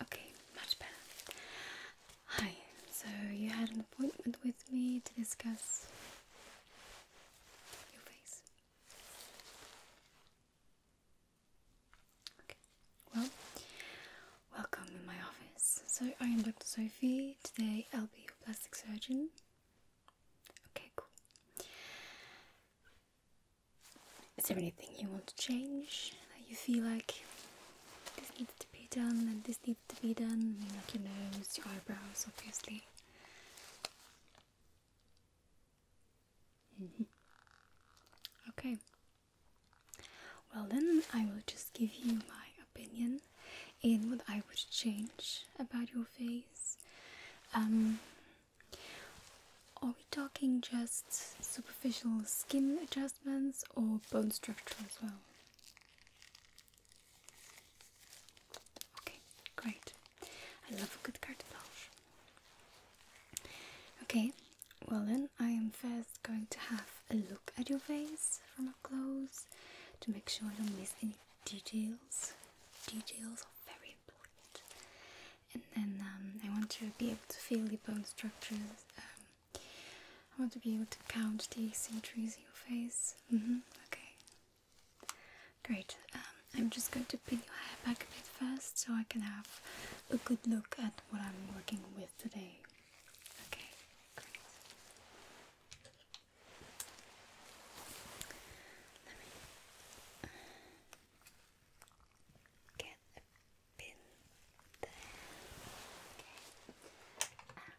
Okay, much better. Hi, so you had an appointment with me to discuss your face. Okay. Well, welcome in my office. So I am Dr. Sophie. Today I'll be your plastic surgeon. Okay, cool. Is there anything you want to change that you feel like this needs to be done and this needs to be done, I mean, like your nose, your eyebrows, obviously. Mm-hmm. Okay. Well, then I will just give you my opinion in what I would change about your face. Um, are we talking just superficial skin adjustments or bone structure as well? Okay, great. I love a good carte Okay, well then I am first going to have a look at your face from up close to make sure I don't miss any details. Details are very important. And then um, I want to be able to feel the bone structures um, I want to be able to count the symmetries in your face. Mm-hmm. Okay. Great. Um, I'm just going to pin your hair back a bit first so I can have a good look at what I'm working with today. Okay. Let me get a Okay.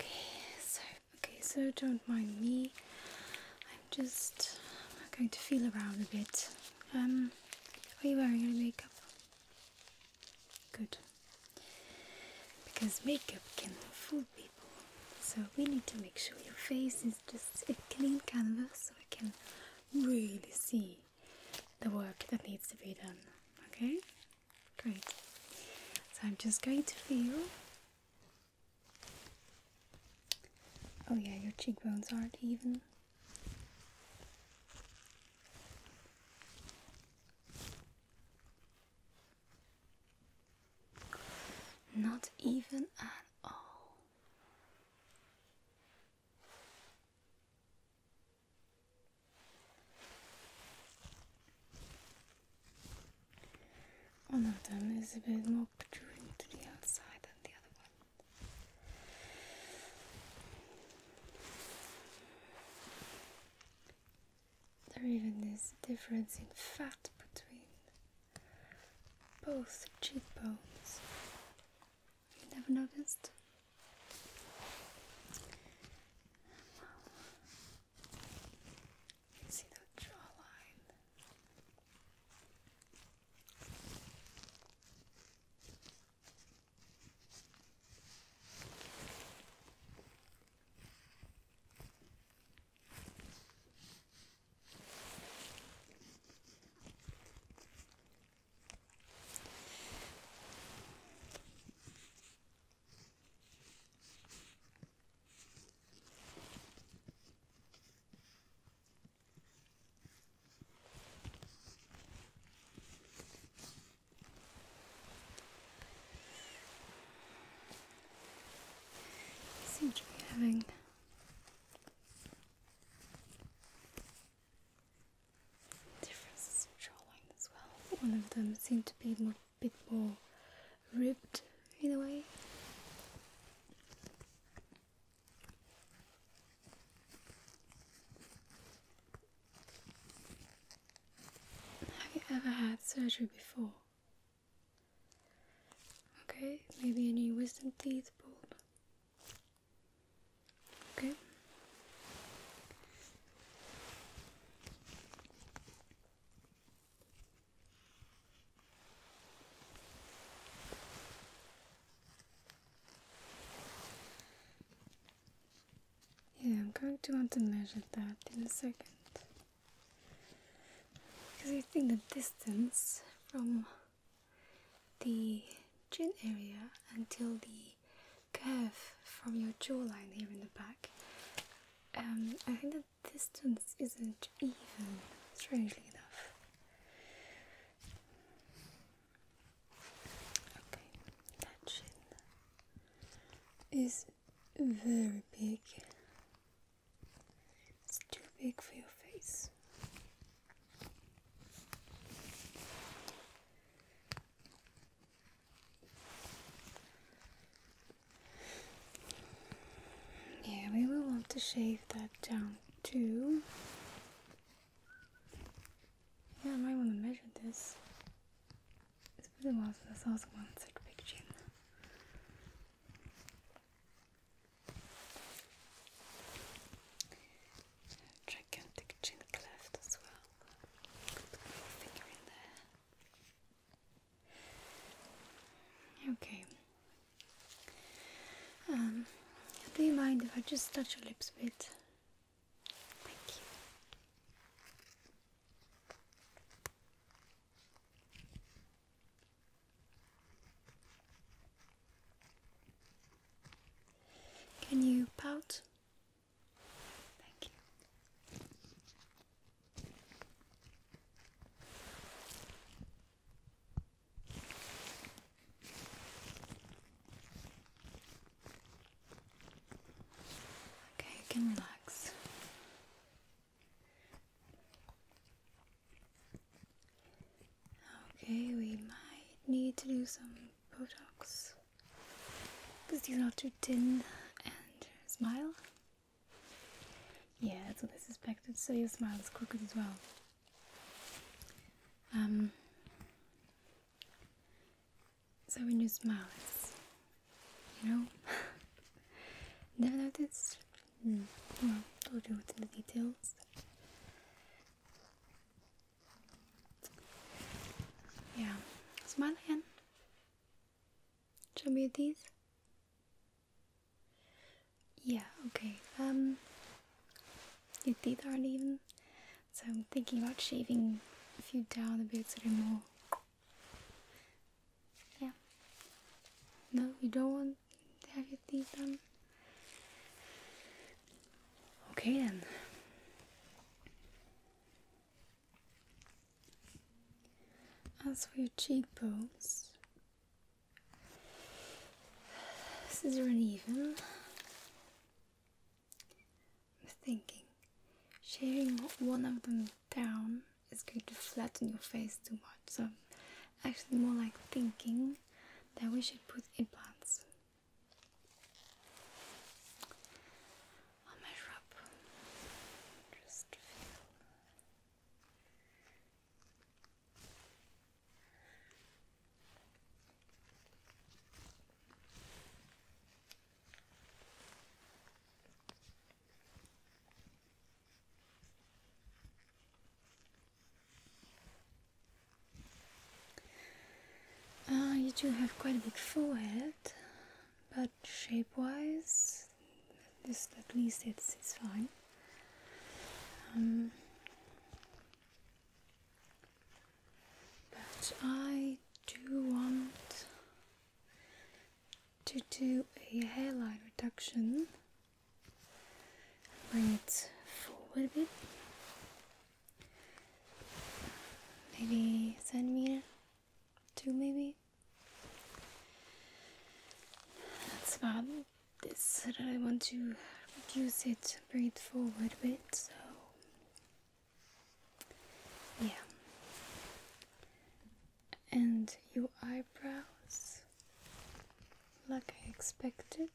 Okay, so okay, so don't mind me. I'm just going to feel around a bit. Um, are you wearing any makeup? Good, because makeup can fool people. So we need to make sure your face is just a clean canvas so we can really see the work that needs to be done. Okay? Great. So I'm just going to feel. Oh, yeah, your cheekbones aren't even. Not even at all. One of them is a bit more protruding to the outside than the other one. There even is a difference in fat between both cheekbones. You never noticed? Wow. You see the jawline. You seem to be having Differences in jawline as well. One of them seemed to be a bit more ribbed either way. Have you ever had surgery before? Okay, maybe any wisdom teeth pulled. Okay. Yeah, I'm going to want to measure that in a second. Because I think the distance from the chin area until the curve from your jawline here in the back, um, I think the distance isn't even, strangely enough. Okay, that chin is very big it's too big for your face. Yeah, we will want to shave that down too. Yeah, I might want to measure this. It's pretty been a while I saw someone such a big chin. Gigantic chin cleft as well. Okay. Um, do you mind if I just touch your lips a bit? Thank you. Can you pout? Thank you. Okay, can relax. Okay, we might need to do some Botox because you're not too thin and smile. Yeah, that's what I suspected. So your smile is crooked as well. Um. So when you smile, it's you know? Did I notice? Mm. Well, told you in the details. Yeah, smile again. Show me your teeth. Yeah, okay. Um, your teeth aren't even, so I'm thinking about shaving a few down a bit so they more yeah. No, you don't want to have your teeth done? Okay then. As for your cheekbones, this is uneven. I'm thinking sharing one of them down it's going to flatten your face too much. So, actually, more like thinking that we should put implants. I'll measure up. Just feel. Uh, you do have quite a big forehead, but shape-wise, this at least it's it's fine. Um, but I do want to do a hairline reduction bring it forward a bit maybe centimeter two maybe that's about this that I want to reduce it bring it forward a bit so yeah and your eyebrows, like I expected,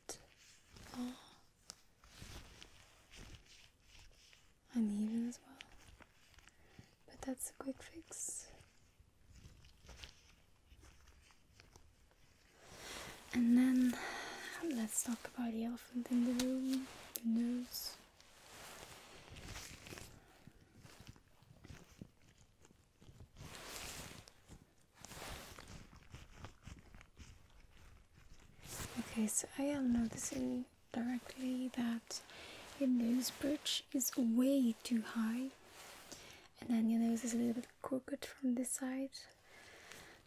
are uneven as well. But that's a quick fix. And then let's talk about the elephant in the room the nose. Okay, so I am noticing directly that your nose bridge is way too high, and then your nose is a little bit crooked from this side.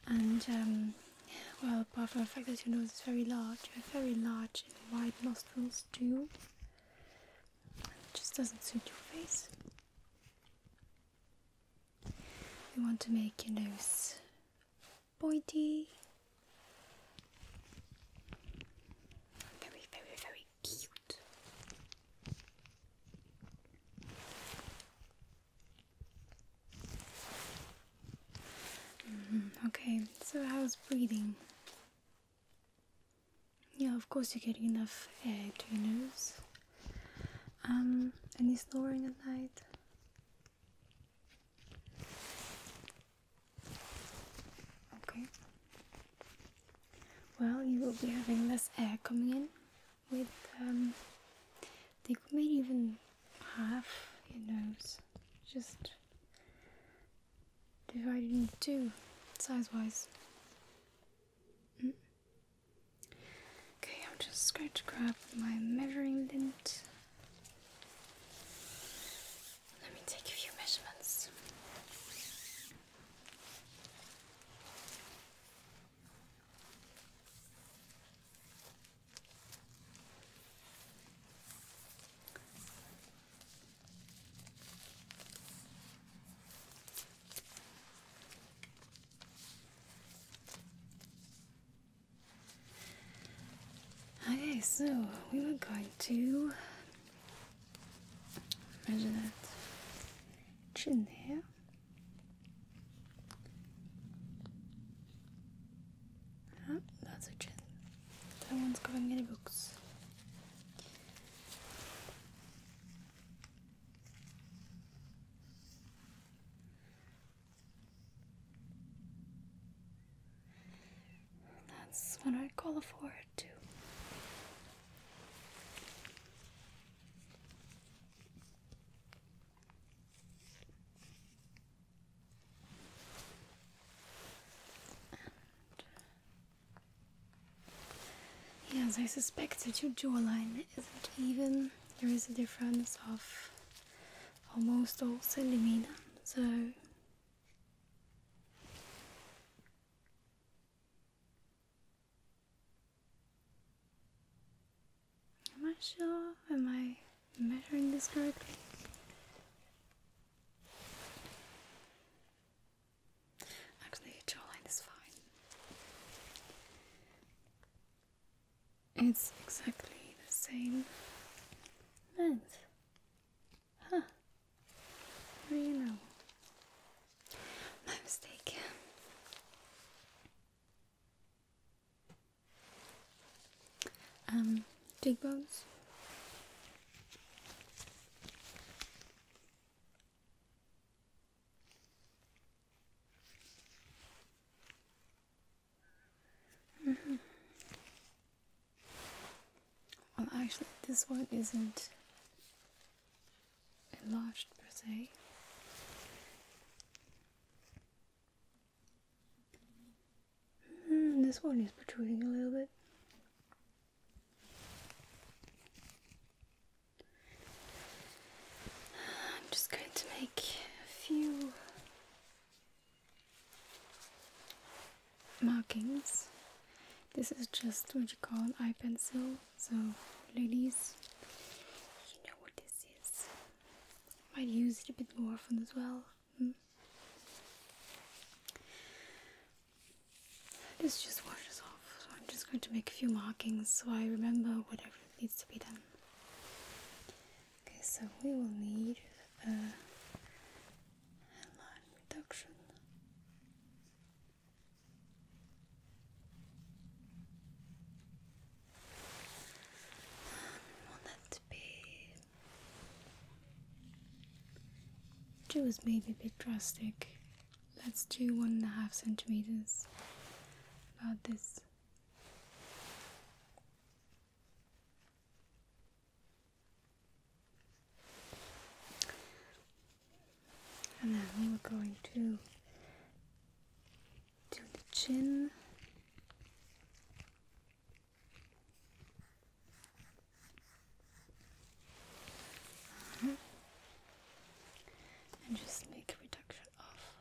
And um, well, apart from the fact that your nose is very large, you have very large and wide nostrils too. It just doesn't suit your face. We want to make your nose pointy. Very, very, very cute. Mm-hmm, okay, so how's breathing? Yeah, of course you're getting enough air to your nose. Um, any snoring at night? Okay. Well, you will be having less air coming in with, um, they could maybe even half your nose. Just divided in two, size-wise. Mm. Okay, I'm just going to grab my measuring lint. Let me take a few measurements. Okay, so we were going to measure that chin hair. That's a 나 솔직히 다른 any books. That's what I call a forehead too yes, I suspect that your jawline isn't even. There is a difference of almost all centimeter, so Am I sure? Am I measuring this correctly? Actually, jawline is fine. It's exactly the same length. Huh. you know? My mistake um, cheekbones. Mm mm-hmm. Well, actually, this one isn't enlarged per se. Mm, this one is protruding a little bit. I'm just going to make a few markings. This is just what you call an eye pencil. So, ladies, you know what this is. Might use it a bit more often as well. Hmm. This just washes off, so I'm just going to make a few markings so I remember whatever needs to be done. Okay, so we will need uh, a line reduction. Um, want that to be Two is maybe a bit drastic. Let's do one and a half centimeters about this. And then we're going to do the chin uh-huh. And just make reduction off.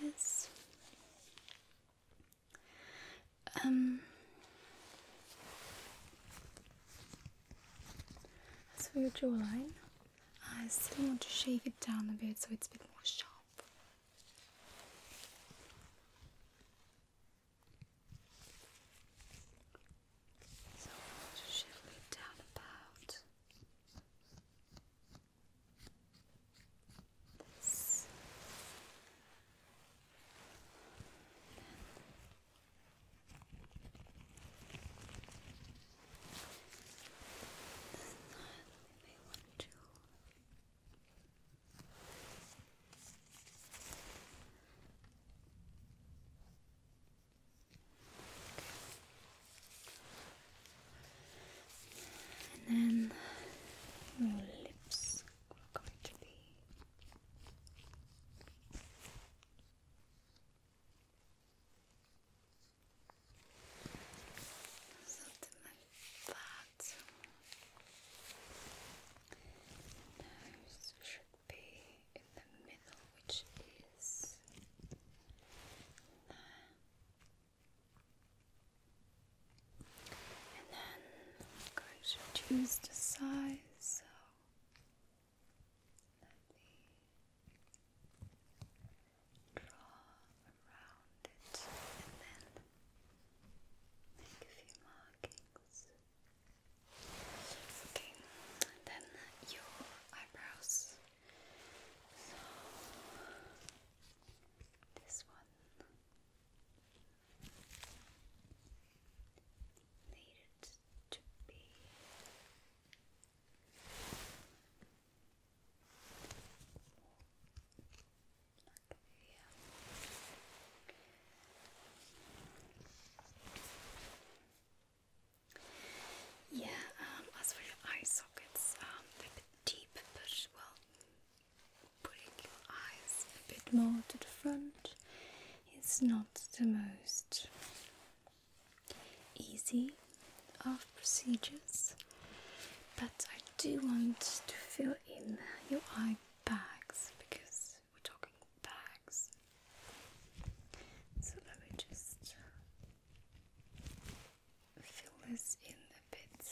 this. Um, that's for your jawline. I still want to shave it down a bit so it's a bit more sharp. So I want to shave it down about this. Then we And then your lips are going to be Something like that. should be in the middle, which is there. And then I'm going to choose the size. Let me draw around it and then make a few markings. Okay, then your eyebrows. So this one needed to be yeah, um, as for your eye sockets, they're um, deep, but well, putting your eyes a bit more to the front is not the most easy of procedures, but I do want to fill in your eye bags because we're talking bags. So let me just fill this in a bit.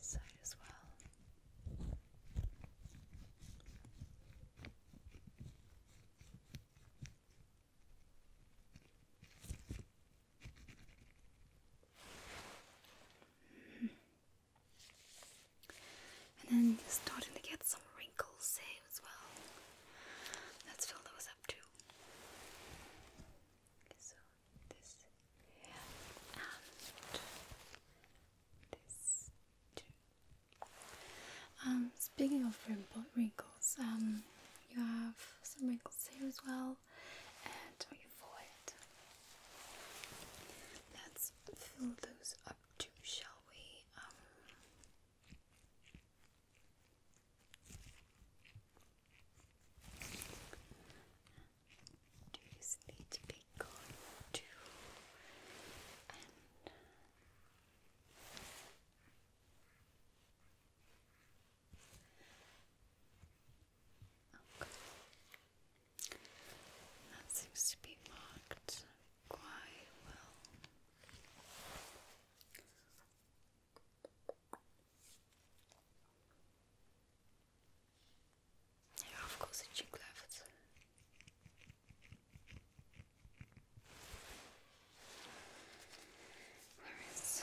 side as well. And then you're starting to get some wrinkles there eh, as well. Let's fill those up too. so this and this too. Um, speaking of wrinkles, um, you have some wrinkles here as well, and on your Let's fill those up too, shall we? Um, do you need to be gone too? And That seems to be marked quite well. Ja, of course it's you love it. Where is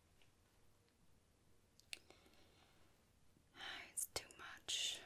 It's too much.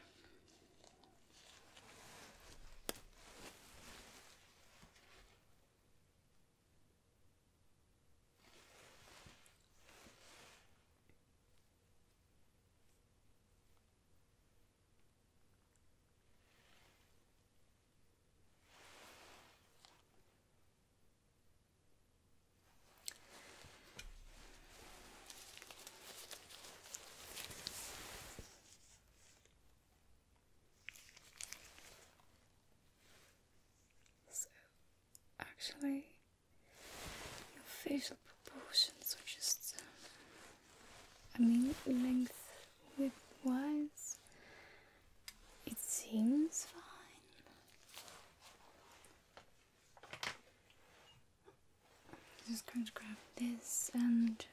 So, actually, your facial proportions are just, I mean, length width wise, it seems fine. just going to grab this and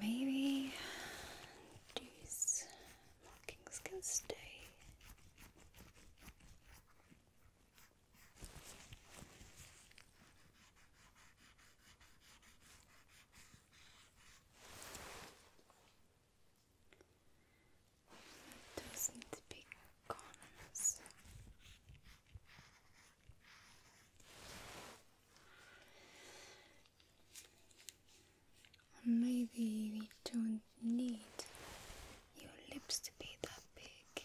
maybe these markings can stay. Doesn't be corners. maybe we don't need your lips to be that big.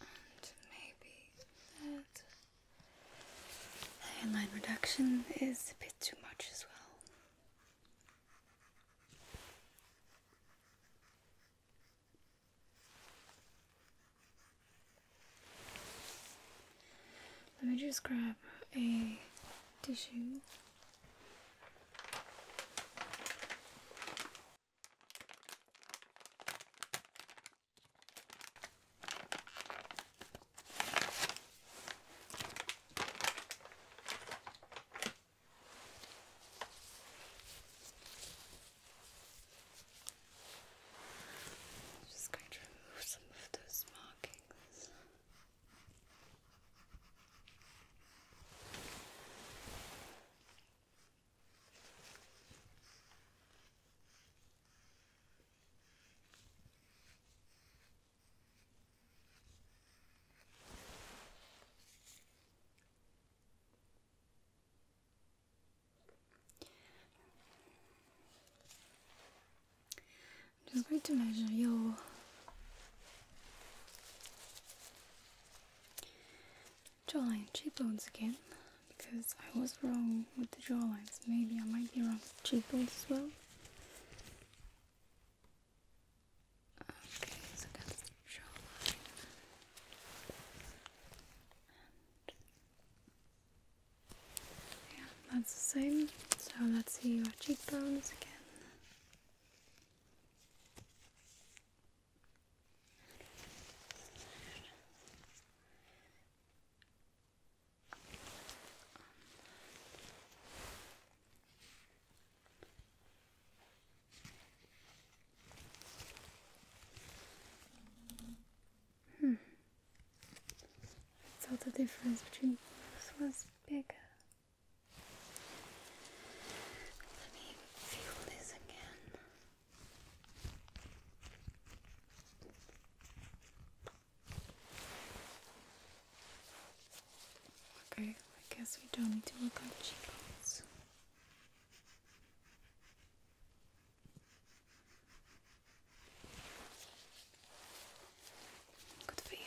And maybe that hairline reduction is a bit too much as well. Let me just grab a tissue. Just going to remove some of those markings. I'm just going to measure your jawline cheekbones again because I was wrong with the jawlines. Maybe I might be wrong with cheekbones as well. Okay, so that's the jawline. yeah, that's the same. So let's see your cheekbones again. Hmm. I thought the difference between this was bigger. Let me feel this again. Okay, I guess we don't need to look at cheekbones. Good for you.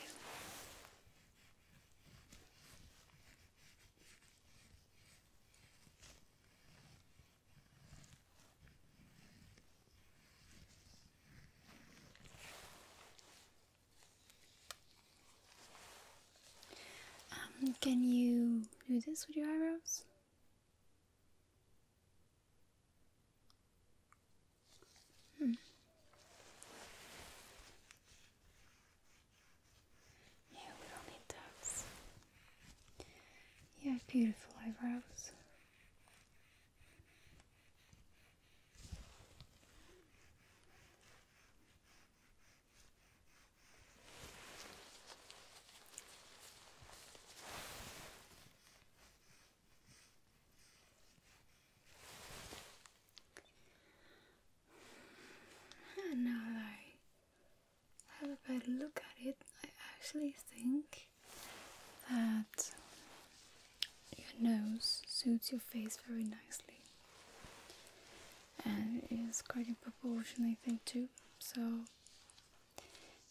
Um, can you do this with your eyebrows? Hmm. Yeah, we do need dots. You have beautiful eyebrows. And I have a better look at it, I actually think that your nose suits your face very nicely and it is quite in proportion, I think, too. So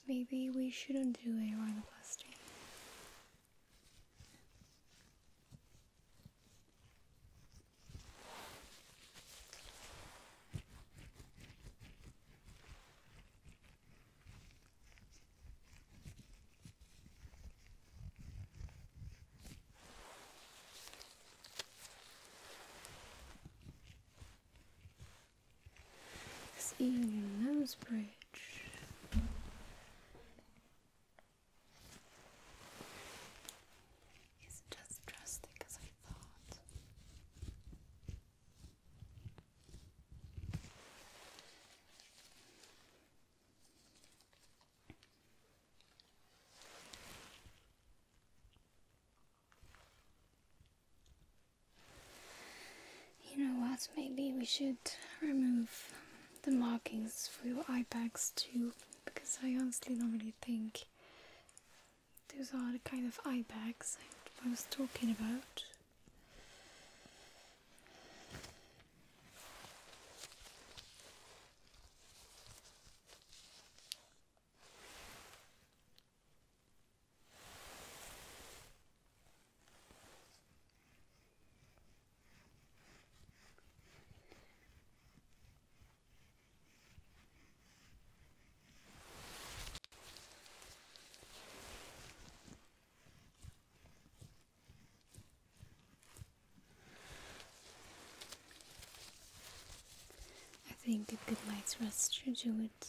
maybe we shouldn't do a rhinoplasty. It's even your nose bridge isn't as drastic as I thought. You know what? Maybe we should remove the markings for your eye bags too, because I honestly don't really think those are the kind of eye bags I was talking about. I think it did my rest to do it.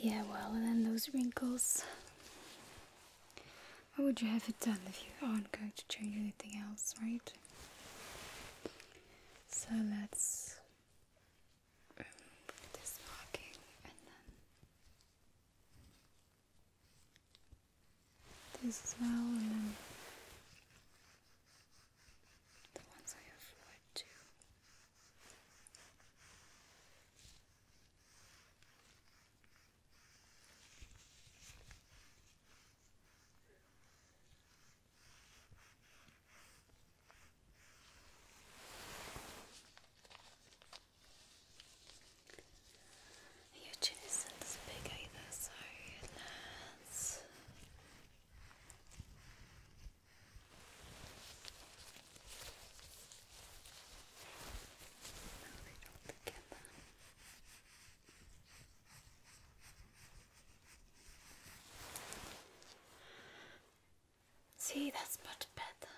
Yeah, well, and then those wrinkles. What would you have it done if you aren't going to change anything else, right? So let's this marking and then this as and then the ones I have wood too. Your chin isn't as big either, so let See, that's much better.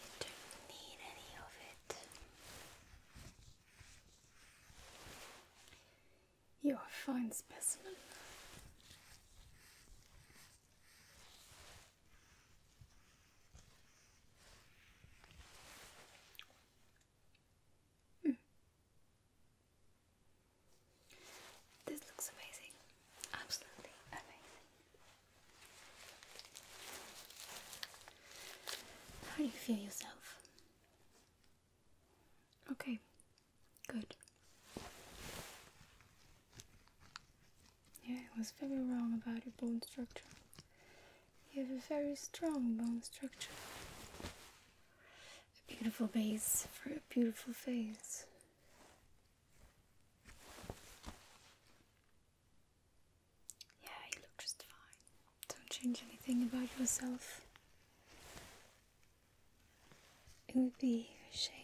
You don't need any of it. You're a fine specimen. Mm. This looks amazing, absolutely amazing. How do you feel yourself? Okay, Good. Yeah, I was very wrong about your bone structure. You have a very strong bone structure. A beautiful face for a beautiful face. Yeah, you look just fine. Don't change anything about yourself. It would be a shame.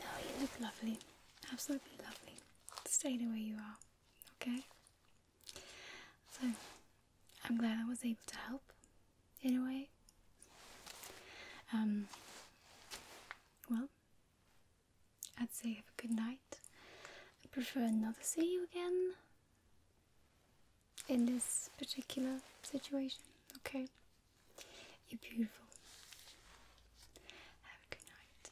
No, you look lovely. Absolutely lovely. Stay the way you are, okay? So, I'm glad I was able to help anyway. Um, well, I'd say have a good night. I prefer not to see you again in this particular situation, okay? You're beautiful. Have a good night.